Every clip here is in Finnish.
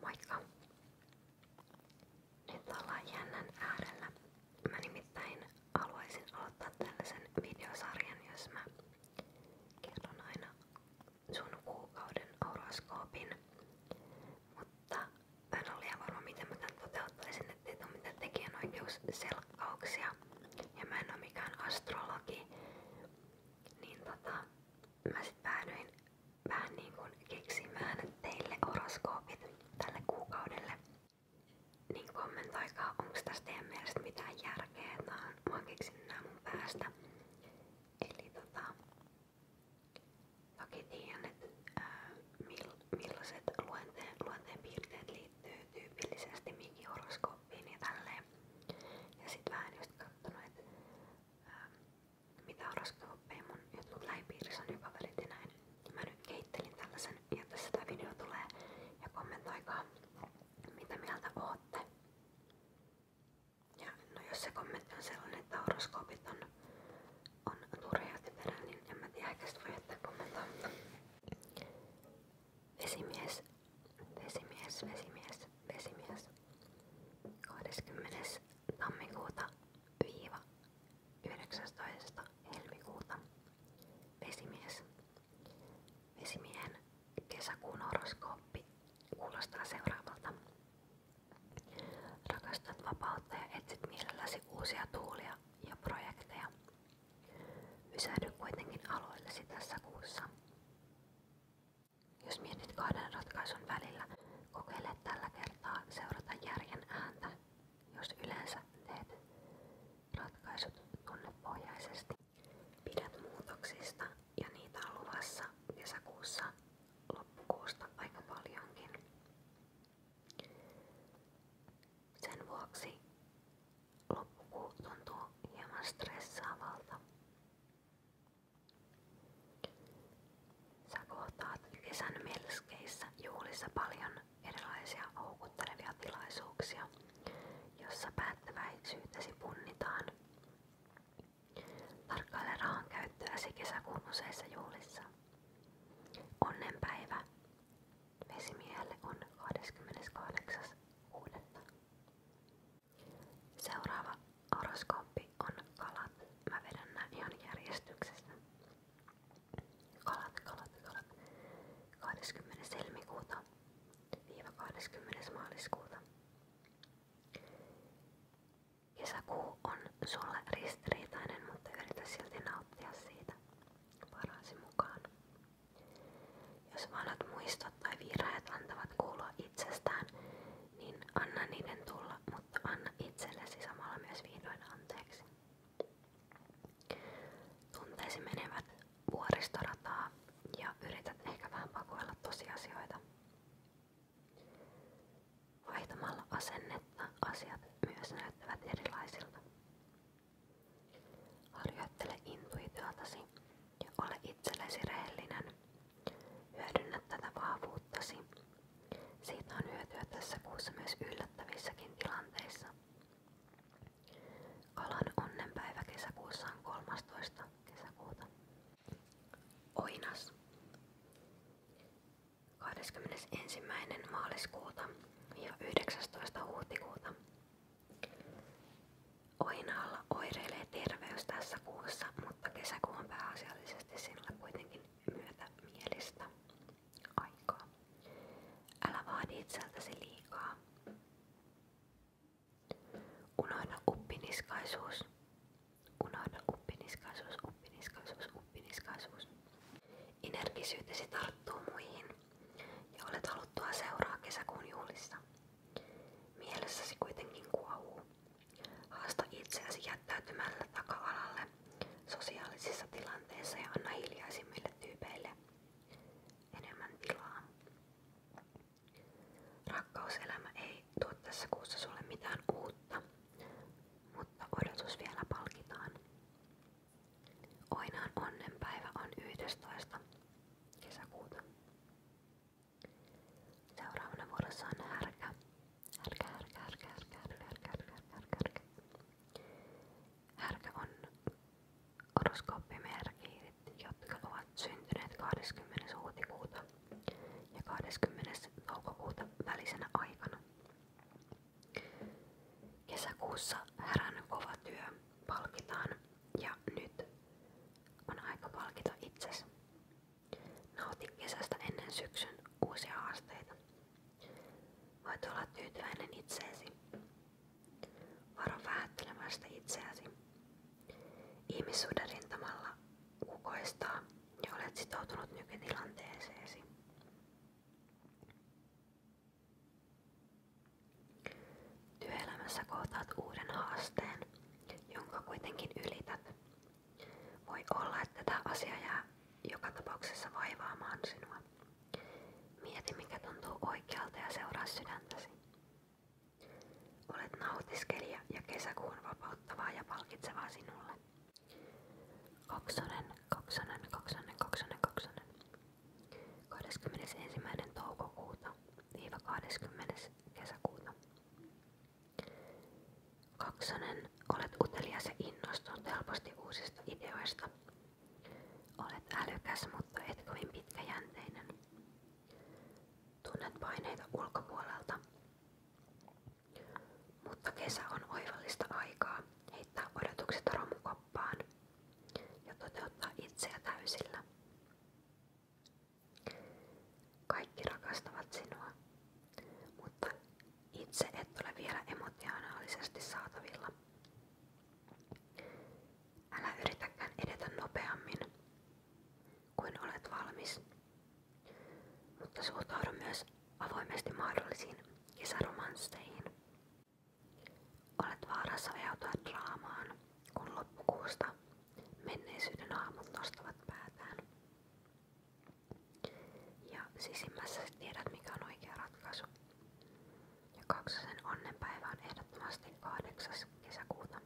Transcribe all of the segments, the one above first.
Moikka! Nyt ollaan jännän äärellä. Mä nimittäin haluaisin aloittaa tällaisen videosarjan, jos mä kerron aina sun kuukauden horoskoopin. Mutta mä en ole liian varma, miten mä tän toteuttaisin, ettei tule mitään tekijänoikeusselkkauksia. Ja mä en ole mikään astrologi. Niin tota, mä sit päädyin vähän niin kuin keksimään teille horoskoopit tälle kuukaudelle. Niin kommentoikaa, onks tästä teidän mielestä mitään järkeä, että mä oon keksin nää mun päästä. Eli tota, toki tiedän, että ää, mill, millaiset luonteen, luonteen piirteet liittyy tyypillisesti minkin horoskooppiin ja tälleen. Ja sit vähän just kattonut, että ähm, mitä horoskooppeja mun jotkut lähipiirissä on joka välit ja näin. Ja mä nyt kehittelin tällaisen ja tässä tää video tulee ja kommentoikaa mitä mieltä ootte. Ja no jos se kommentti on sellainen, että horoskoopit on, on turhia tehdä, niin en mä tiedä ehkä voi jättää kommentoimaan. Vesimies, vesimies, vesimies, vesimies. 20. tammikuuta viiva 19. helmikuuta. Vesimies. Vesimiehen kesäkuun horoskooppi kuulostaa seuraavalta. Rakastat vapautta ja etsit mielelläsi uusia tuulia ja projekteja. Pysähdy kuitenkin aloillesi tässä kuussa. Jos mietit kahden ratkaisun välillä, kokeile tällä kertaa seurata järjen ääntä, jos yleensä teet ratkaisut tunnepohjaisesti. Pidät muutoksista ja niitä on luvassa kesäkuussa loppukuusta aika paljonkin. Sen vuoksi loppukuu tuntuu hieman stressaavalta. Sä kohtaat kesän melskeissä juhlissa paljon erilaisia houkuttelevia tilaisuuksia, jossa päättäväisyytesi punnitaan. Tarkkaile rahan käyttöäsi kesäkuun useissa juhlissa. Onnenpäivä vesimiehelle on 28.6. Seuraava horoskooppi on kalat. Mä vedän nää ihan järjestyksessä. Kalat, kalat, kalat. 20. helmikuuta viiva 20. maaliskuuta. Kesäkuu on sulle ristiriitainen, mutta yritä silti nauttia siitä parhaasi mukaan. Jos valot muistot tai virheet antavat kuulua itsestään, niin anna niiden tulla, mutta anna itsellesi samalla myös vihdoin anteeksi. Tunteesi menevät vuoristorataa ja yrität ehkä vähän pakoilla tosiasioita. Vaihtamalla asennetta asiat myös näyttävät erilaisilta. Harjoittele intuitiotasi ja ole itsellesi rehellinen. Hyödynnä tätä vahvuuttasi. Siitä on hyötyä tässä kuussa myös yllättävissäkin tilanteissa. Kalan onnenpäivä kesäkuussa on 13. kesäkuuta. Oinas 21. maaliskuuta ja 19. huhtikuuta Oinaalla oireilee terveys kuussa, mutta kesäkuu on pääasiallisesti sinulle kuitenkin myötämielistä Älä vaadi itseltäsi liikaa. Unohda uppiniskaisuus. Unohda uppiniskaisuus, uppiniskaisuus, uppiniskaisuus. Energisyytesi tarttuu muihin ja olet haluttua seuraa kesäkuun juhlissa. Mielessäsi kuitenkin kuohuu. Haasta itseäsi jättäytymällä taka-alalle sosiaalisissa tilanteissa ja anna hiljaisimmille tyypeille enemmän tilaa. Rakkauselämä ei tuo tässä kuussa sulle mitään uutta, mutta odotus vielä palkitaan. Oinaan onnenpäivä on 11. kesäkuuta. Seuraavana vuorossa on härkä. Härkä, härkä, härkä, härkä, härkä, härkä, härkä, härkä, härkä. Härkä on horoskooppimerkit, jotka ovat syntyneet 20. huhtikuuta ja 20. toukokuuta välisenä aikana. Kesäkuussa härän kova työ palkitaan ja nyt on aika palkita itsesi. Nauti kesästä ennen syksyn uusia haasteita. Voit olla tyytyväinen itseesi. Varo vähättelemästä itseäsi. Ihmissuuden rintamalla kukoistaa ja olet sitoutunut nykytilanteeseesi. Työelämässä kohtaat uuden haasteen, jonka kuitenkin ylität. Voi olla, että tämä asia jää joka tapauksessa vaivaamaan sinua. Mieti, mikä tuntuu oikealta ja seuraa sydäntäsi. Olet nautiskelija ja kesäkuun vapauttavaa ja palkitsevaa sinulle kaksonen, kaksonen, kaksonen, kaksonen, kaksonen. 21. toukokuuta viiva 20. kesäkuuta. Kaksonen, olet utelias ja innostunut helposti uusista ideoista. Olet älykäs, mutta et kovin pitkäjänteinen. Tunnet paineita ulkopuolelta mutta kesä on oivallista aikaa heittää odotukset romukoppaan ja toteuttaa itseä täysillä. Kaikki rakastavat sinua, mutta itse et ole vielä emotionaalisesti saatavilla. Älä yritäkään edetä nopeammin kuin olet valmis, mutta suhtaudu myös avoimesti mahdollisiin kesäromansseihin. Olet vaarassa ajautua draamaan, kun loppukuusta menneisyyden aamut nostavat päätään. Ja sisimmässäsi tiedät mikä on oikea ratkaisu. Ja kaksosen onnenpäivä on ehdottomasti 8. kesäkuuta.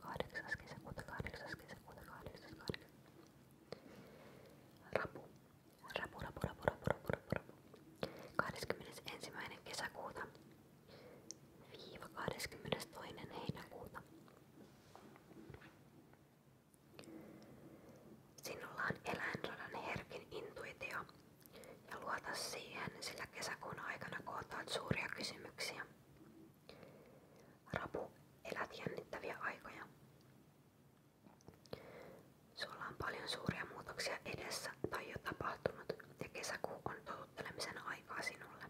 kahdeksas kesäkuuta, 8. kesäkuuta, 8. kesäkuuta. Rapu. Rapu, rapu, rapu, rapu, rapu, rapu, rapu. 21. kesäkuuta viiva 22. heinäkuuta. Sinulla on eläinradan herkin intuitio ja luota siihen, sillä kesäkuun aikana kootaat suuria kysymyksiä. Rapu, elät jännittäviä aikoja. Sulla on paljon suuria muutoksia edessä tai jo tapahtunut ja kesäkuu on totuttelemisen aikaa sinulle.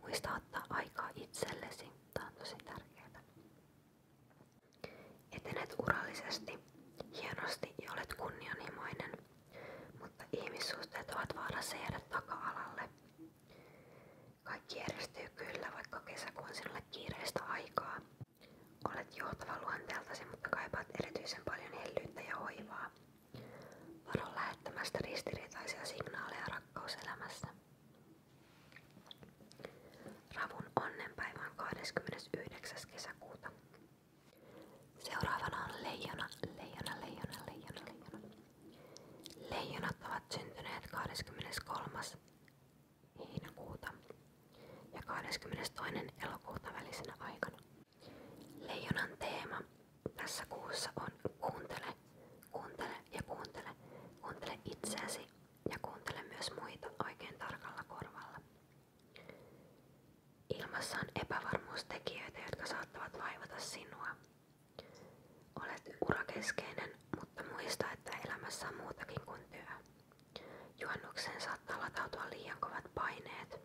Muista ottaa aikaa itsellesi. Tämä on tosi tärkeää. Etenet urallisesti, hienosti ja olet kunnianhimoinen, mutta ihmissuhteet ovat vaarassa jäädä taka-alalle. Kaikki järjestyy kyllä, vaikka kesäkuun on sinulle kiireistä aikaa. Olet johtava luonteeltasi, mutta kaipaat erityisen paljon hellyyttä ja hoivaa. Varo lähettämästä ristiriitaisia signaaleja rakkauselämässä. Ravun onnenpäivä on 29. kesäkuuta. Seuraavana on leijona, leijona, leijona, leijona, leijona. Leijonat ovat syntyneet 23. 5. heinäkuuta ja 22. elokuuta välisenä aikana. Leijonan teema tässä kuussa on kuuntele, kuuntele ja kuuntele. Kuuntele itseäsi ja kuuntele myös muita oikein tarkalla korvalla. Ilmassa on epävarmuustekijöitä, jotka saattavat vaivata sinua Olet urakeskeinen, mutta muista, että elämässä on muutakin kuin työ. Juhannukseen saattaa latautua liian kovat paineet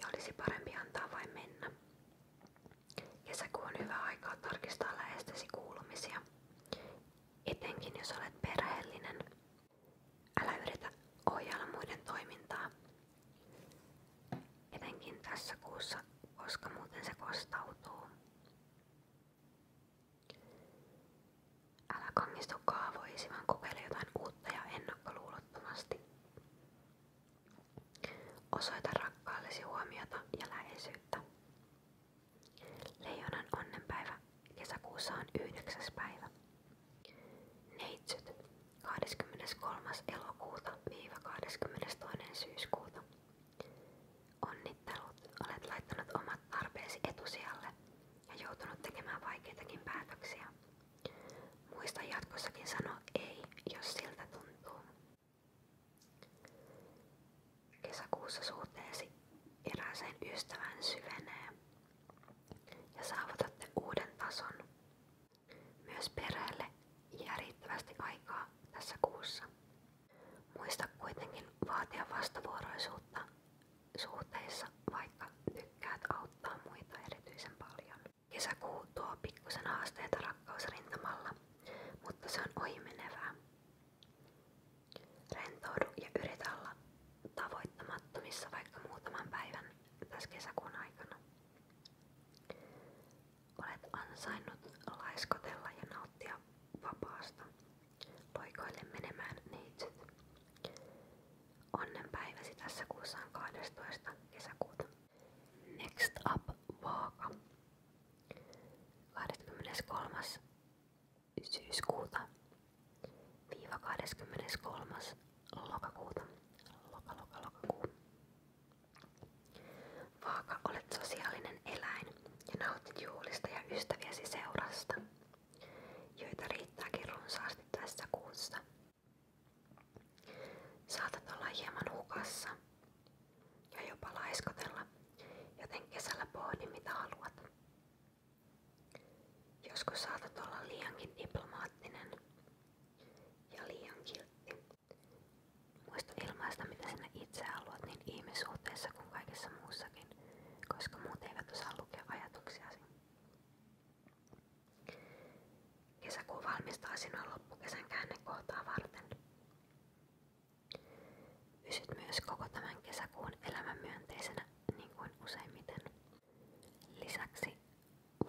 ja olisi parempi antaa vain mennä. Kesäkuu on hyvä aika tarkistaa lähestesi kuulumisia, etenkin jos olet perheellinen. Älä yritä ohjailla muiden toimintaa. Etenkin tässä kuussa, koska muuten se kostautuu. Älä kangistu kaavoisi, vaan kokeile jotain uutta ja ennakkoluulottomasti. Osoita rakkaallesi huomiota ja läheisyyttä. Leijonan onnenpäivä kesäkuussa on yhdeksäs päivä. Neitsyt 23. elokuuta-22. syyskuuta. Onnittelut, olet laittanut omat tarpeesi etusijalle ja joutunut tekemään vaikeitakin päätöksiä. Muista jatkossakin sanoa ei, jos siltä tuntuu. Kesäkuussa suhteesi erääseen ystävään syvenee ja saavutatte uuden tason. Myös perheelle jää riittävästi aikaa tässä kuussa. Muista kuitenkin vaatia vastavuoroisuutta suhteissa, vaikka tykkäät auttaa muita erityisen paljon. Kesäkuu tuo pikkusen haasteita rakkausrintamalla, mutta se on ohimenevää. Rentoudu ja yritä olla tavoittamattomissa vaikka muutaman päivän tässä kesäkuun aikana. Olet ansainnut laiskotella ja nauttia vapaasta. Loikoille menemään neitsyt. Onnenpäiväsi tässä kuussa on 12. kesäkuuta. Next up vaaka. 23. syyskuuta viiva 23. lokakuuta. Loka, loka, lokakuu. Vaaka, olet sosiaalinen eläin ja nautit juhlista ja ystäviäsi seurasta, joita riittääkin runsaasti tässä kuussa. Saatat olla hieman hukassa ja jopa laiskotella, joten kesällä pohdi mitä haluat. Joskus saatat olla liiankin diplomaattinen ja liian kiltti, Muista ilmaista, mitä sinä itse haluat niin ihmissuhteessa kuin kaikessa muussakin, koska muut eivät osaa lukea ajatuksiasi. Kesäkuun valmistaa sinua loppukesän käännekohtaa varten. Pysyt myös koko tämän kesäkuun elämän myönteisenä, niin kuin useimmiten. Lisäksi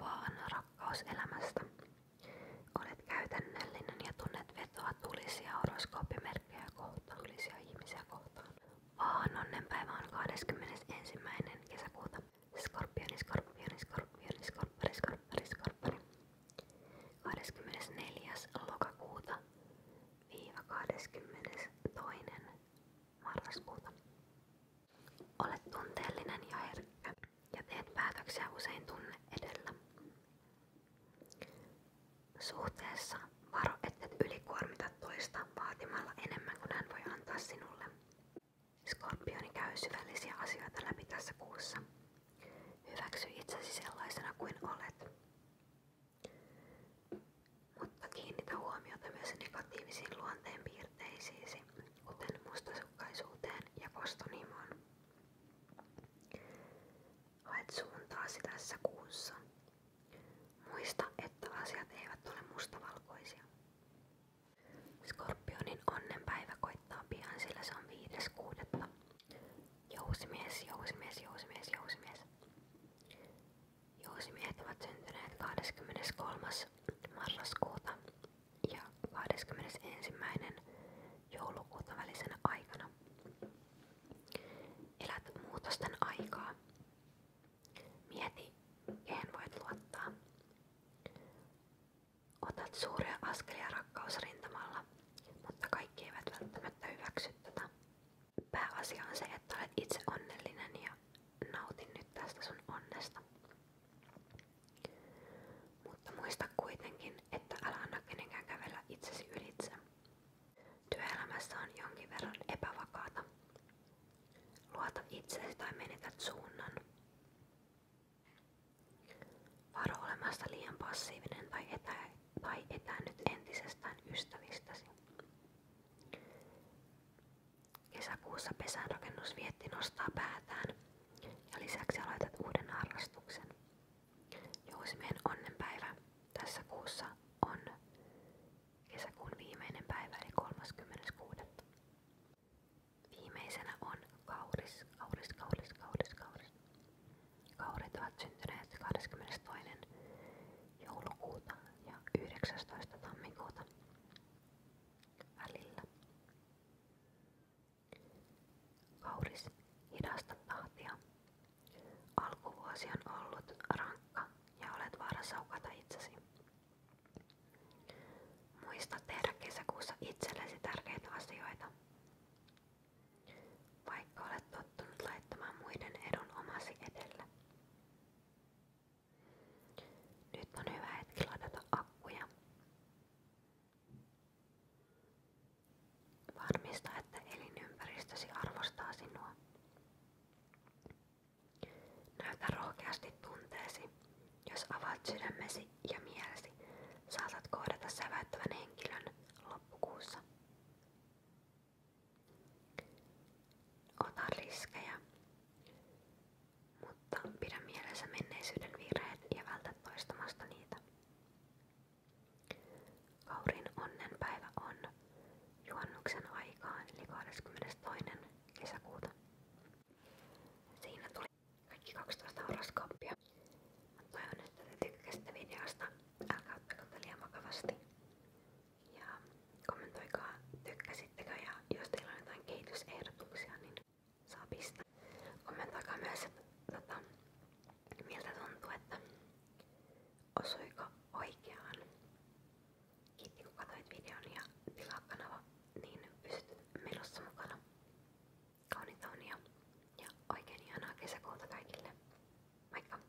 vaan rakkaus elämästä. Olet käytännöllinen ja tunnet vetoa tulisia horoskooppimerkkejä kohtaan, tulisia ihmisiä kohtaan. Vaan onnenpäivä on 21. kesäkuuta. Skorpioni, skorpioni, skorpioni, skorpari, skorpari, skorpari. 24. lokakuuta viiva 22. marraskuuta. Olet tunteellinen ja herkkä ja teet päätöksiä usein tunne edellä. Suhteessa varo, ettet ylikuormita toista vaatimalla enemmän kuin hän voi antaa sinulle. Skorpioni käy syvällisiä asioita läpi tässä kuussa. Hyväksy itsesi sellaisena kuin olet. Mutta kiinnitä huomiota myös negatiivisiin luonteenpiirteisiisi kuten mustasukkaisuuteen ja kostonhimoon. Haet suuntaasi tässä kuussa. Muista, että asiat eivät ole mustavalkoisia. Skorpionin onnenpäivä koittaa pian, sillä viides kuudetta. Jousimies, jousimies, jousimies, jousimies. Jousimiehet ovat syntyneet 23 marraskuuta ja 21. joulukuuta välisenä aikana. Elät muutosten aikaa. Mieti, kehen voit luottaa. Otat suuria askelia rakkausrintamalla, mutta kaikki eivät välttämättä hyväksy tätä. Pääasia on se, että olet itse onnellinen ja nautin nyt tästä sun onnesta. Mutta muista kuitenkin, että älä anna kenenkään kävellä itsesi ylitse. Työelämässä on jonkin verran epävakaata. Luota itsesi tai menetät suunnan. Varo olemasta liian passiivinen tai, etä, tai etäännyt entisestään ystävistäsi. Kesäkuussa vietti nostaa päätään ja lisäksi aloitat uuden harrastuksen. Jousimien onnenpäivä tässä kuussa on kesäkuun viimeinen päivä eli 36. Viimeisenä on kauris, kauris, kauris, kauris, kauris. Kaurit ovat syntyneet 22. joulukuuta ja 19. tammikuuta välillä. Kauris, hidasta tahtia. Alkuvuosi on ollut rankka ja olet vaarassa hukata itsesi. Muista tehdä kesäkuussa itsellesi tärkeitä asioita. Vaikka olet tottunut laittamaan muiden edun omasi edelle. Nyt on hyvä hetki ladata akkuja. Varmista, että elinympäristösi arvostaa sinua. Näytä rohkeasti tunteesi. Jos avaat sydämesi ja mielesi, saatat kohdata säväyttävän henkilön loppukuussa. Ota riskejä, mutta pidä mielessä menneisyyden virheet ja vältä toistamasta niitä. Kaurin onnenpäivä on juhannuksen aikaan eli 22. kesäkuuta. Siinä tuli kaikki 12 horoskooppia. Mä toivon, että te tykkäsitte videosta. Älkää ottako liian vakavasti. Ja kommentoikaa, tykkäsittekö ja jos teillä on jotain kehitysehdotuksia, niin saa pistää. Kommentoikaa myös, että tota, miltä tuntuu, että osuiko oikeaan. Kiitti kun katsoit videon ja tilaa kanava, niin pysyt menossa mukana. Kauniita unia ja oikein ihanaa kesäkuuta kaikille. Moikka!